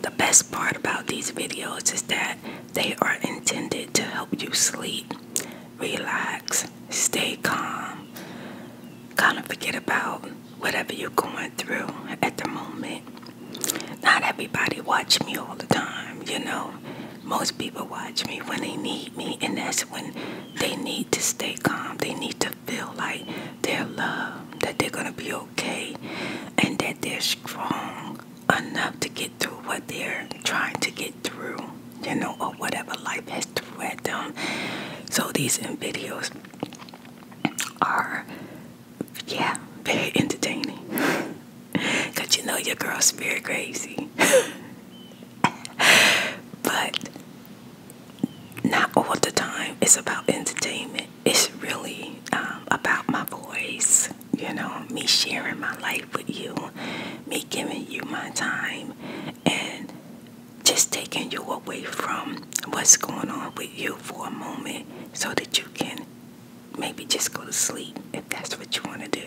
The best part about these videos is that they are intended to help you sleep, relax, stay calm, kind of forget about whatever you're going through at the moment. Not everybody watch me all the time, you know. Most people watch me when they need me, and that's when they need to stay calm. They need to feel like their love, that they're going to be okay, and that they're strong enough to get through what they're trying to get through, you know, or whatever life has threw at them. So these videos are, yeah, very entertaining. Because you know your girl's very crazy. but not all the time. It's about entertainment it's really um, about my voice, you know, me sharing my life with you, me giving you my time, and just taking you away from what's going on with you for a moment so that you can maybe just go to sleep if that's what you want to do.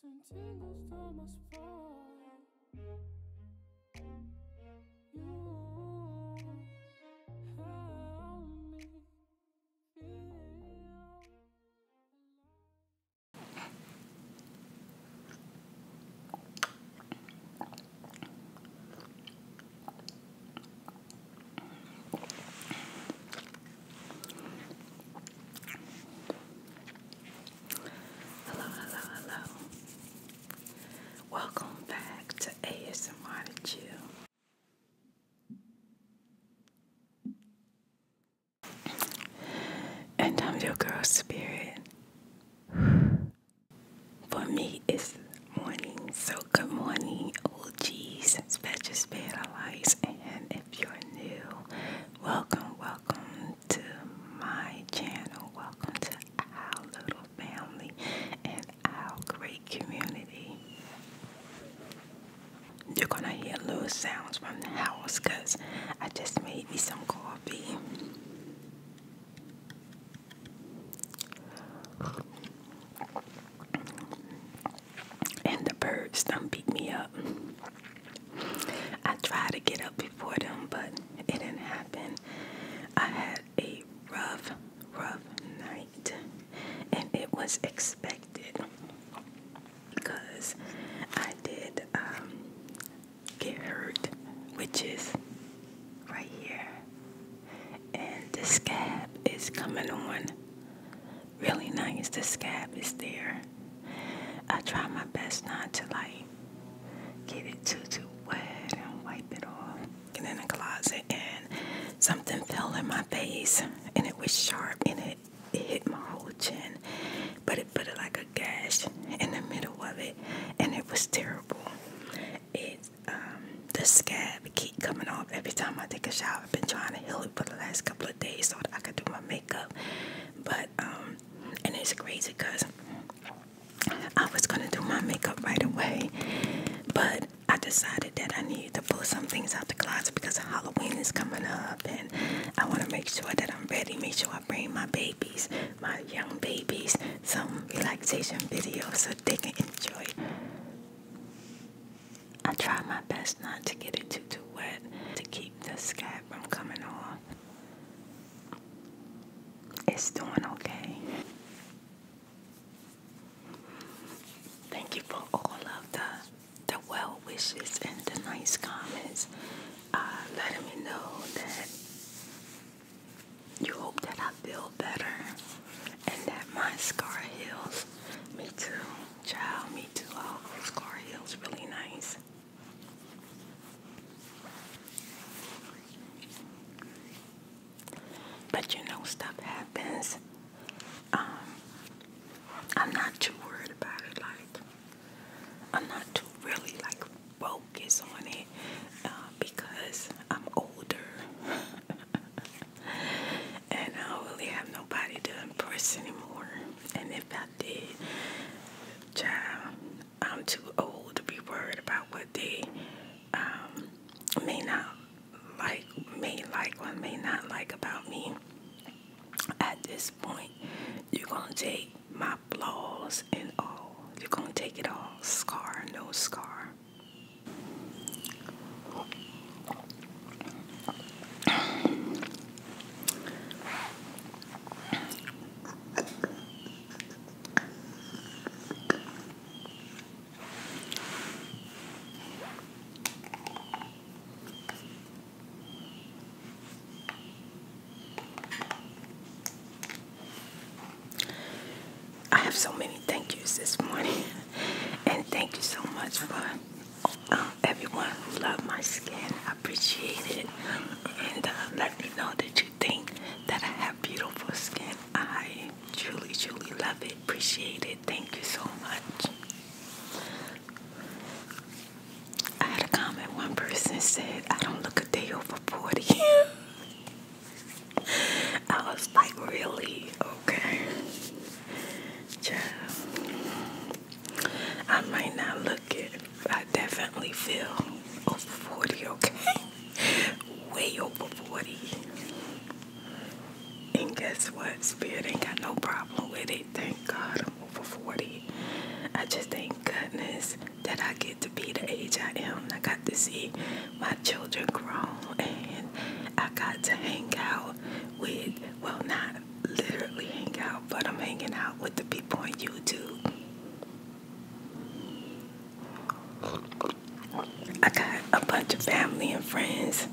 Sentinels down my spine. You help me feel Hello, hello, hello. Welcome back to ASMR to Chill. And I'm your girl spirit. For me, it's morning. So, good morning, OGs, special spirit allies. And if you're new, Welcome, welcome to my channel. Welcome to our little family and our great community. You're gonna hear little sounds from the house because I just made me some coffee. And the birds done beat me up. I tried to get up before them, but it didn't happen. I had a rough, rough night, and it was expected because I did um, get hurt, which is right here, and the scab is coming on really nice. The scab is there. I try my best not to like get it too too wet and wipe it off. Get in the closet and something fell in my face and it was sharp and it, hit my whole chin. But it put it like a gash in the middle of it and it was terrible. It um, the scab keep coming off every time I take a shower. I've been trying to heal it for the last couple of days so that I could do my makeup. But um and it's crazy because I was gonna do my makeup right away, but I decided that I need to pull some things out the closet because Halloween is coming up, and I want to make sure that I'm ready. Make sure I bring my babies, my young babies, some relaxation videos so they can enjoy. I try my best not to get it too too wet to keep keep the scab I'm coming off. It's doing okay. Thank you for all of the the well wishes and the nice comments. Uh, letting me know that you hope that I feel better and that my scar heals. Me too, child. Me too. All oh, scar heals really nice. But you know, stuff happens. Um, I'm not too worried about it. Like, I'm not too really like focus on it uh, because I'm older and I don't really have nobody to impress anymore. And if I I Child, I'm too old to be worried about what they um, may not like, may like or may not like about me. At this point, you're gonna take my flaws and all. You're gonna take it all, scar, no scar. I have so many thank yous this morning, and thank you so much for uh, everyone who loved my skin. I appreciate it. And uh, let me know that you think that I have beautiful skin. I truly, truly love it. Appreciate it. Thank you so much. I had a comment. One person said, I don't look a day over 40. I was like, really? Okay. Child. I might not look it, I definitely feel over 40, okay? Way over 40. And guess what? Spirit ain't got no problem with it. Thank God I'm over 40. I just thank goodness that I get to be the age I am. I got to see my children grow and I got to hang out with, well, not literally hang out, but I'm hanging out with the people on YouTube. I got a bunch of family and friends.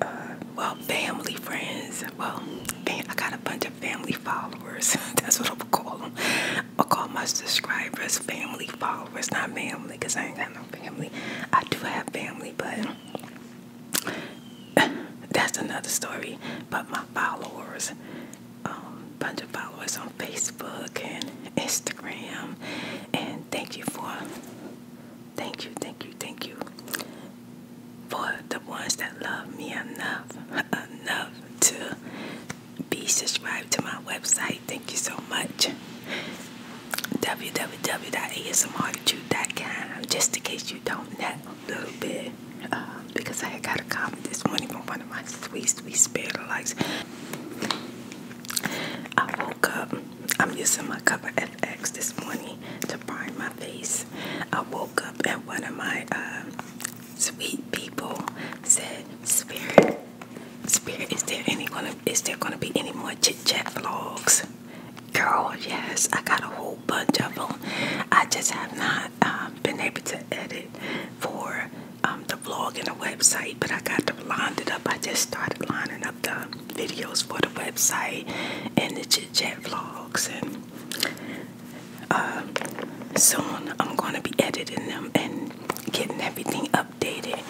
Uh, well, family friends. Well, I got a bunch of family followers. That's what I'm gonna call them. I will call my subscribers family followers, not family, because I ain't got no family. I do have family, but that's another story. But my followers, um, bunch of followers on Facebook and Instagram, and thank you for, thank you, thank you, thank you for the ones that love me enough, enough to be subscribed to my website. Thank you so much. www.asmrtruth.com, just in case you don't know a little bit. Uh, because I had got a comment this morning from one of my sweet, sweet spirit likes. I woke up. I'm using my cover FX this morning to prime my face. I woke up and one of my uh, sweet people said, "Spirit, Spirit, is there any gonna is there gonna be any more chit chat vlogs?" Girl, yes, I got a whole bunch of them. I just have not um, been able to edit for um, the vlog and the website, but I got them lined it up. I just started lining up the videos for the website and the chit chat vlogs, and uh, soon I'm going to be editing them and getting everything updated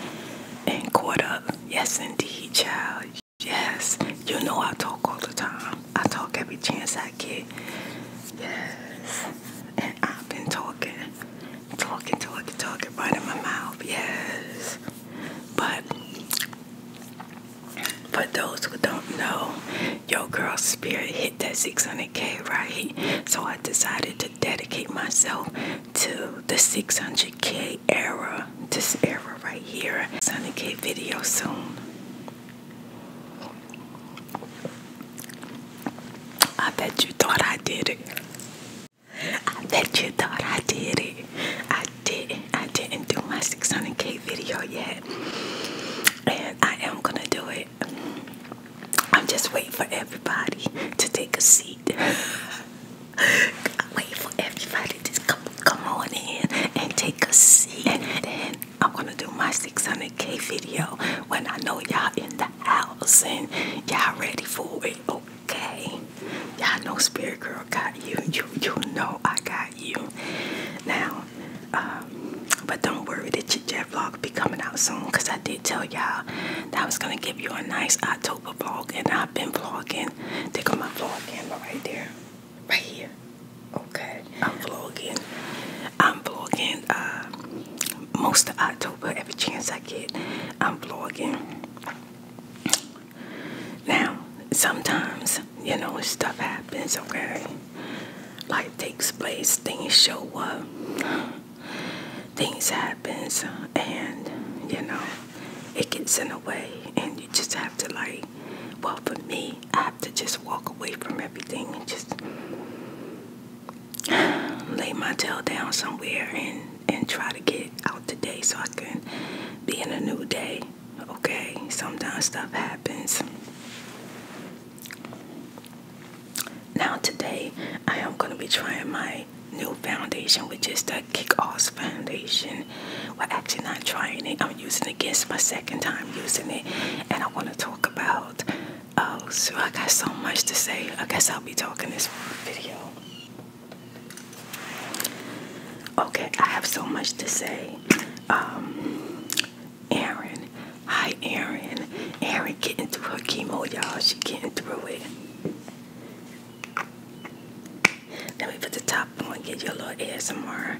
and caught up. Yes, indeed, child. Yes, you know I talk all the time. I talk every chance I get. Yes. And I've been talking, talking, talking, talking right in my mouth. Yes. But for those who don't know, yo girl spirit hit that 600K, right? So I decided to dedicate myself to the 600K era, this era right here. 600K video soon. I bet you thought I did it. I bet you thought I did it. I didn't. I didn't do my 600k video yet, and I am gonna do it. I'm just waiting for everybody to take a seat. Wait for everybody to come come on in and take a seat, I'm gonna do my 600k video when I know y'all in the house and y'all ready for it. Okay, y'all know Spirit Girl got you. You you know I got you. Now, um, but don't worry, the chit chat vlog be coming out soon. Cause I did tell y'all that was gonna give you a nice October vlog, and I've been vlogging. Take on my vlog camera right there, right here. Okay, I'm vlogging. I'm vlogging uh, most of October, every chance I get, I'm vlogging. Now, sometimes, you know, stuff happens, okay? Life takes place, things show up, things happen, and, you know, it gets in the way, and you just have to, like, well, for me, I to just walk away from everything and just lay my tail down somewhere and and try to get out today so I can be in a new day. Okay, sometimes stuff happens. Now today I am gonna be trying my new foundation, which is the Kick Ass foundation. We're actually not trying it. I'm using it against my second time using it, and I want to talk about Oh, so I got so much to say. I guess I'll be talking this video. Okay, I have so much to say. Um, Aaron, hi Aaron. Aaron, getting through her chemo, y'all. She getting through it. Let me put the top on, get your little ASMR.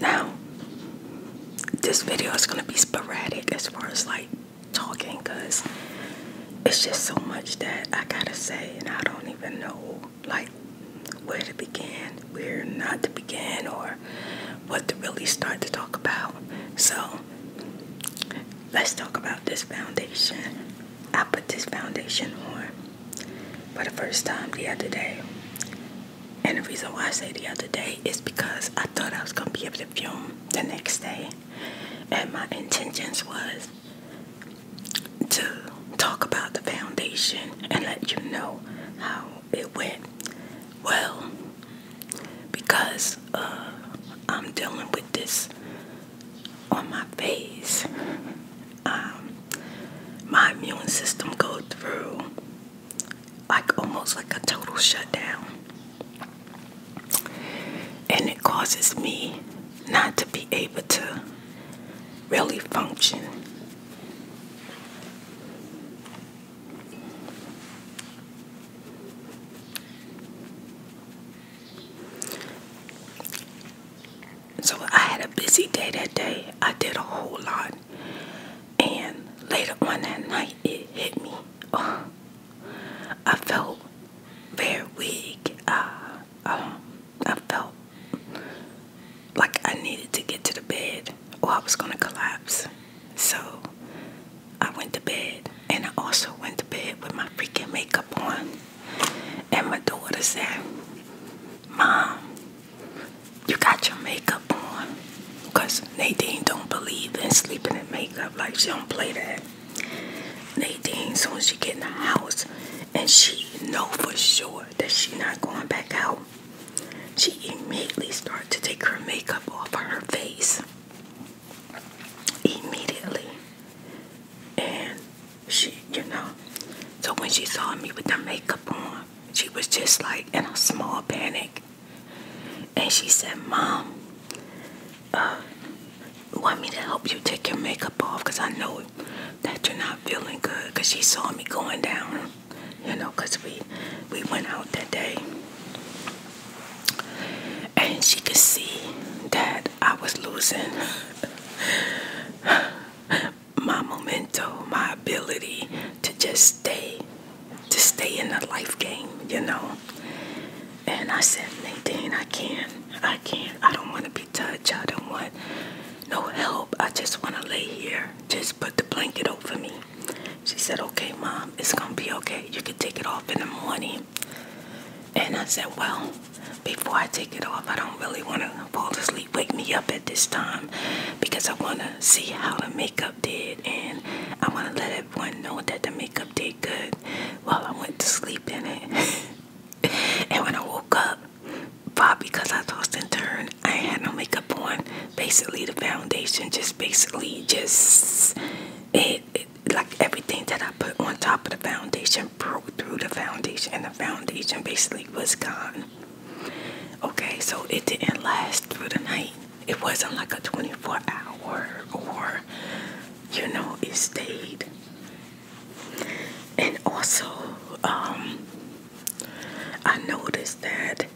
Now, this video is going to be sporadic as far as like talking because it's just so much that I gotta say, and I don't even know like where to begin, where not to begin, or what to really start to talk about. So, let's talk about this foundation. I put this foundation on for the first time the other day. And the reason why I say the other day is because I thought I was going to be able to film the next day. And my intentions was to talk about the foundation and let you know how it went. Well, because uh, I'm dealing with this on my face, um, my immune system go through like almost like a total shutdown, and it causes me not to be able to really function. So I had a busy day that day. I did a whole lot. And later on that night, it hit me. Oh, I felt very weak. Uh, um, I felt like I needed to get to the bed or I was going to collapse. So I went to bed. And I also went to bed with my freaking makeup on. And my daughter said, Mom, you got your makeup on. Because Nadine don't believe in sleeping in makeup. Like, she don't play that. Nadine, soon as she get in the house, and she know for sure that she not going back out, she immediately start to take her makeup off of her face. Immediately. And she, you know. So when she saw me with the makeup on, she was just like in a small panic. And she said, Mom, uh, want me to help you take your makeup off? Because I know that you're not feeling good. Because she saw me going down, you know, because we, we went out that day. And she could see that I was losing my memento, my ability to just stay, to stay in the life game, you know. And I said, Nadine, I can't, I can't, I don't want to be touched, I don't want no help, I just want to lay here, just put the blanket over me. She said, okay, mom, it's going to be okay, you can take it off in the morning. And I said, well, before I take it off. I don't really want to fall asleep. Wake me up at this time because I want to see how the makeup did and I want to let everyone know that the makeup did good while I went to sleep in it. and when I woke up, but because I tossed and turned, I had no makeup on. Basically, the foundation just basically just it like everything that I put on top of the foundation broke through the foundation, and the foundation basically was gone. Okay, so it didn't last through the night. It wasn't like a 24 hour or, you know, it stayed. And also, um, I noticed that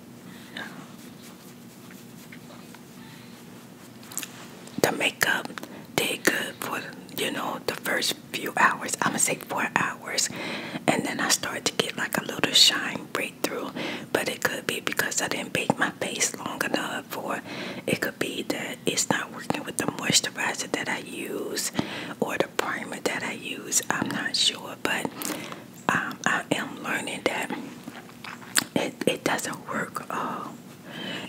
the makeup did good for, you know, the first few hours, I'm gonna say four hours, and then I start to get like a little shine breakthrough. But it could be because I didn't bake my face long enough, or it could be that it's not working with the moisturizer that I use or the primer that I use. I'm not sure, but um, I am learning that it, doesn't work uh,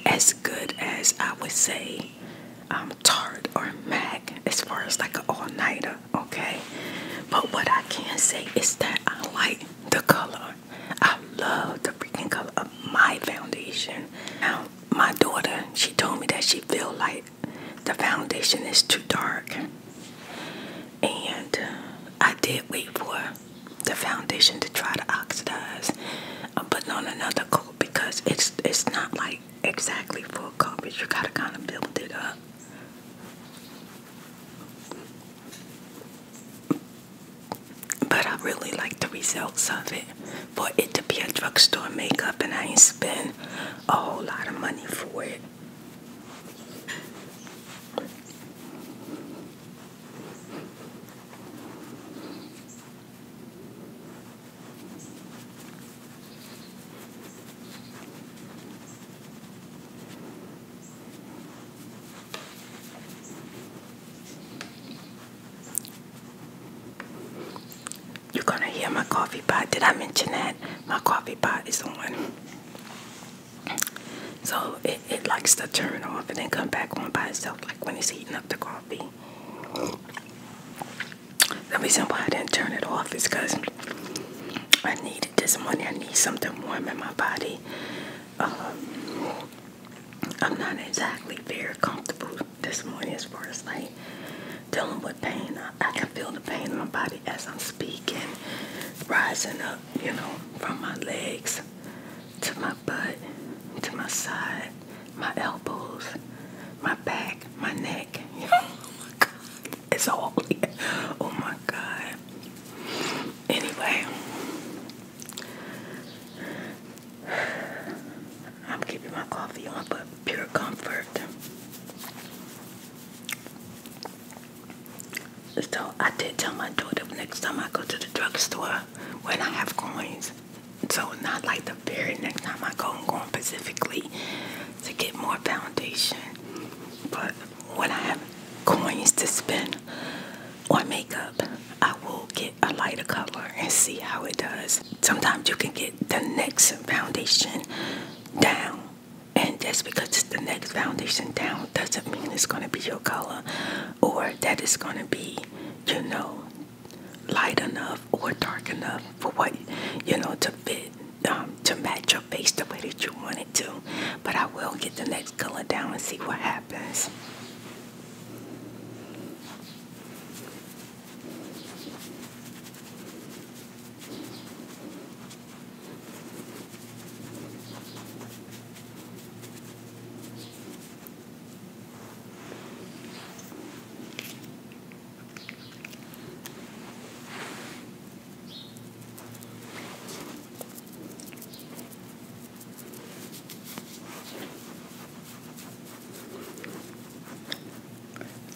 as good as I would say be um, tart or mac as far as like an all-nighter okay but what I can say is that I like the color I love the freaking color of my foundation now my daughter she told me that she feel like the foundation is too dark and uh, I did wait for the foundation to try to oxidize I'm putting on another coat because it's it's not like like exactly full coverage. You gotta kind of build it up. But I really like the results of it. For it to be a drugstore makeup and I ain't spend a whole lot of money for it. You're gonna hear my coffee pot. Did I mention that? My coffee pot is on. So it, it likes to turn off and then come back on by itself like when it's heating up the coffee. The reason why I didn't turn it off is because I needed this money. I need something warm in my body. Um, I'm not exactly very comfortable this morning as far as like dealing with pain. I can feel the pain in my body as I'm speaking, rising up, you know, from my legs to my butt, to my side, my elbows, my back, my neck. it's all, Oh my god. Anyway, I'm keeping my coffee on, but pure comfort. So I did tell my daughter next time I go to the drugstore when I have coins. So not like the very next time I go, I'm specifically to get more foundation. But when I have coins to spend on makeup, I will get a lighter color and see how it does. Sometimes you can get the next foundation down. And just because it's the next foundation down doesn't mean it's going to be your color or that it's going to be, you know, light enough or dark enough for what, you know, to fit um, to match your face the way that you want it to. But I will get the next color down and see what happens.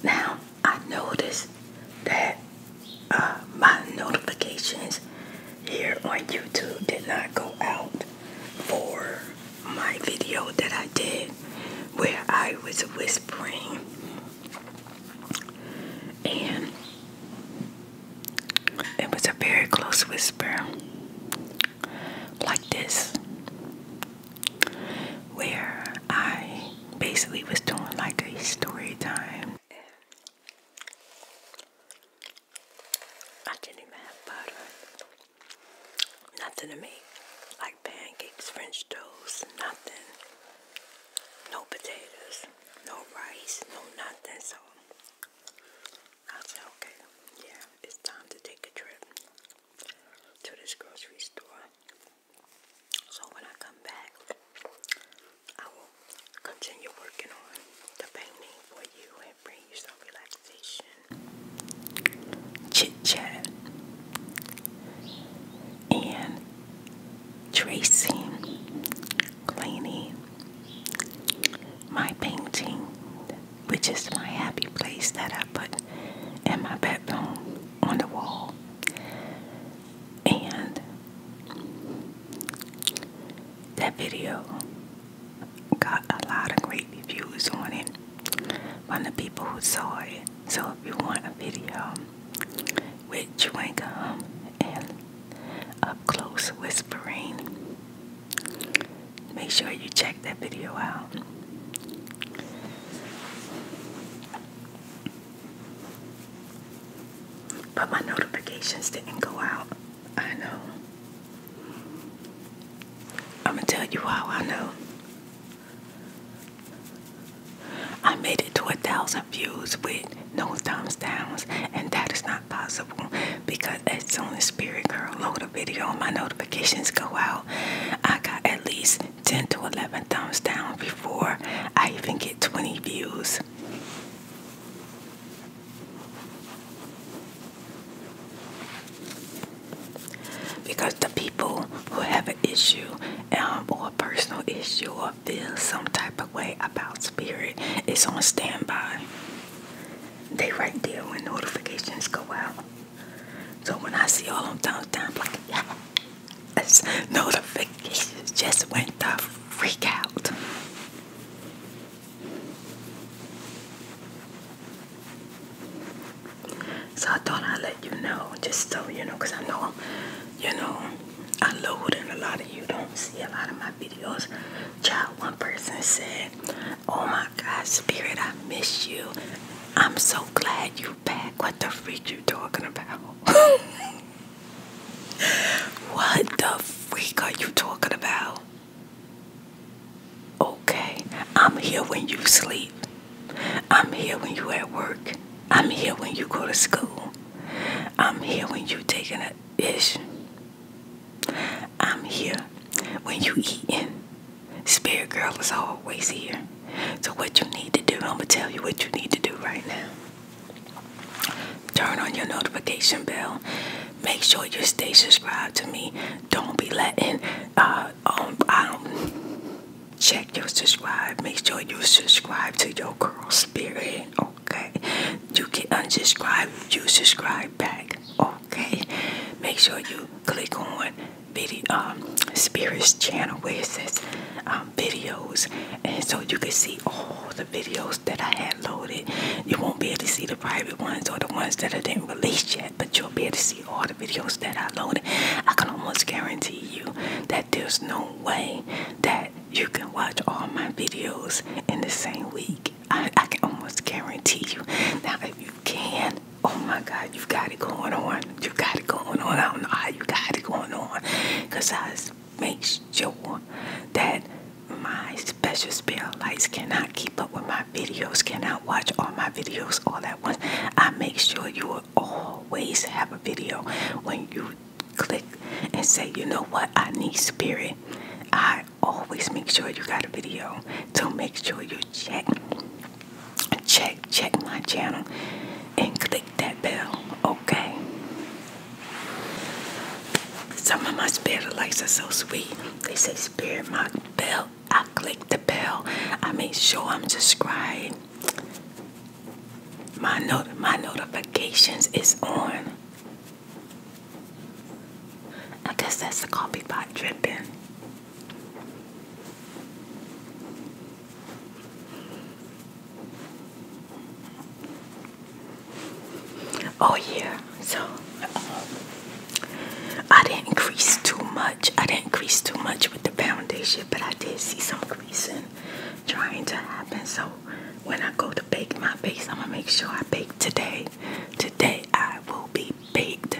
Now I noticed that uh, my notifications here on YouTube did not go out for my video that I did where I was whispering and it was a very close whisper, like this, where I basically was doing like a story time. I didn't even have butter, nothing to me like pancakes, french toast, nothing. No potatoes, no rice, no nothing. So I said, okay, yeah, it's time to take a trip to this grocery store. So when I come back, I will continue working on the painting for you and bring you some relaxation, chit chat, and Tracing, cleaning, my painting, which is my happy place that I put in my bedroom on the wall. And that video got a lot of great views on it from the people who saw it. So if you want a video which chewing gum and up close whispering. Make sure you check that video out. But my notifications didn't go out. I know. I'm gonna tell you how I know. I made it to a thousand views with no thumbs downs, and that is not possible because as soon as Spirit Girl load a video, my notifications go out. I got at least 10 to 11 thumbs down before I even get 20 views. Because the people who have an issue um, or personal issue or feel some type of way about spirit it's on standby. They right there when notifications go out. So when I see all them thumbs down, like, yeah, notifications just went the freak out. So I thought I'd let you know, just so you know, because I know you know, I load and a lot of you don't see a lot of my videos. Child, one person said, Oh my God, Spirit, I miss you. I'm so glad you are back. What the freak are you talking about? what the freak are you talking about? Okay, I'm here when you sleep. I'm here when you at work. I'm here when you go to school. I'm here when you taking a ish. I'm here when you eating. Spirit girl is always here. So what you need to do, I'm gonna tell you what you need to do right now. Turn on your notification bell. Make sure you stay subscribed to me. Don't be letting uh um check your subscribe. Make sure you subscribe to your girl spirit. Okay. You can unsubscribe, you subscribe back. Okay. Make sure you click on video um, spirit's channel where it says um, videos and so you can see all the videos that I had loaded. You won't be able to see the private ones or the ones that I didn't release yet, but you'll be able to see all the videos that I loaded. I can almost guarantee you that there's no way that you can watch all my videos in the same week. I, can almost guarantee you. Now, if you can, oh my God, you got it going on. You got it going on. I don't know how you got it going on. Because I make sure that my special spell lights cannot keep up with my videos, cannot watch all my videos all at once. I make sure you are all always have a video when you click and say, you know what, I need spirit. I always make sure you got a video. So make sure you check, check, check my channel and click that bell, okay? Some of my spirit likes are so sweet. They say spirit my bell. I click the bell. I make sure I'm subscribed. My not my notifications is on. I guess that's the coffee pot dripping. Oh yeah, so um, I didn't crease too much. I didn't crease too much with the foundation, but I did see some creasing trying to happen. So when I go to bake my face, I'm gonna make sure I bake today. Today I will be baked.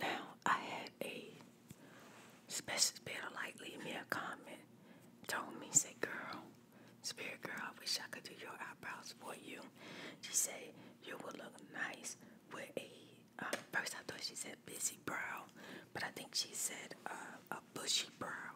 Now, I had a special spirit like leave me a comment. Told me, said, girl, spirit girl, I wish I could do your eyebrows for you. She said, you would look nice with a, uh, first I thought she said busy brow, but I think she said uh, a bushy brow.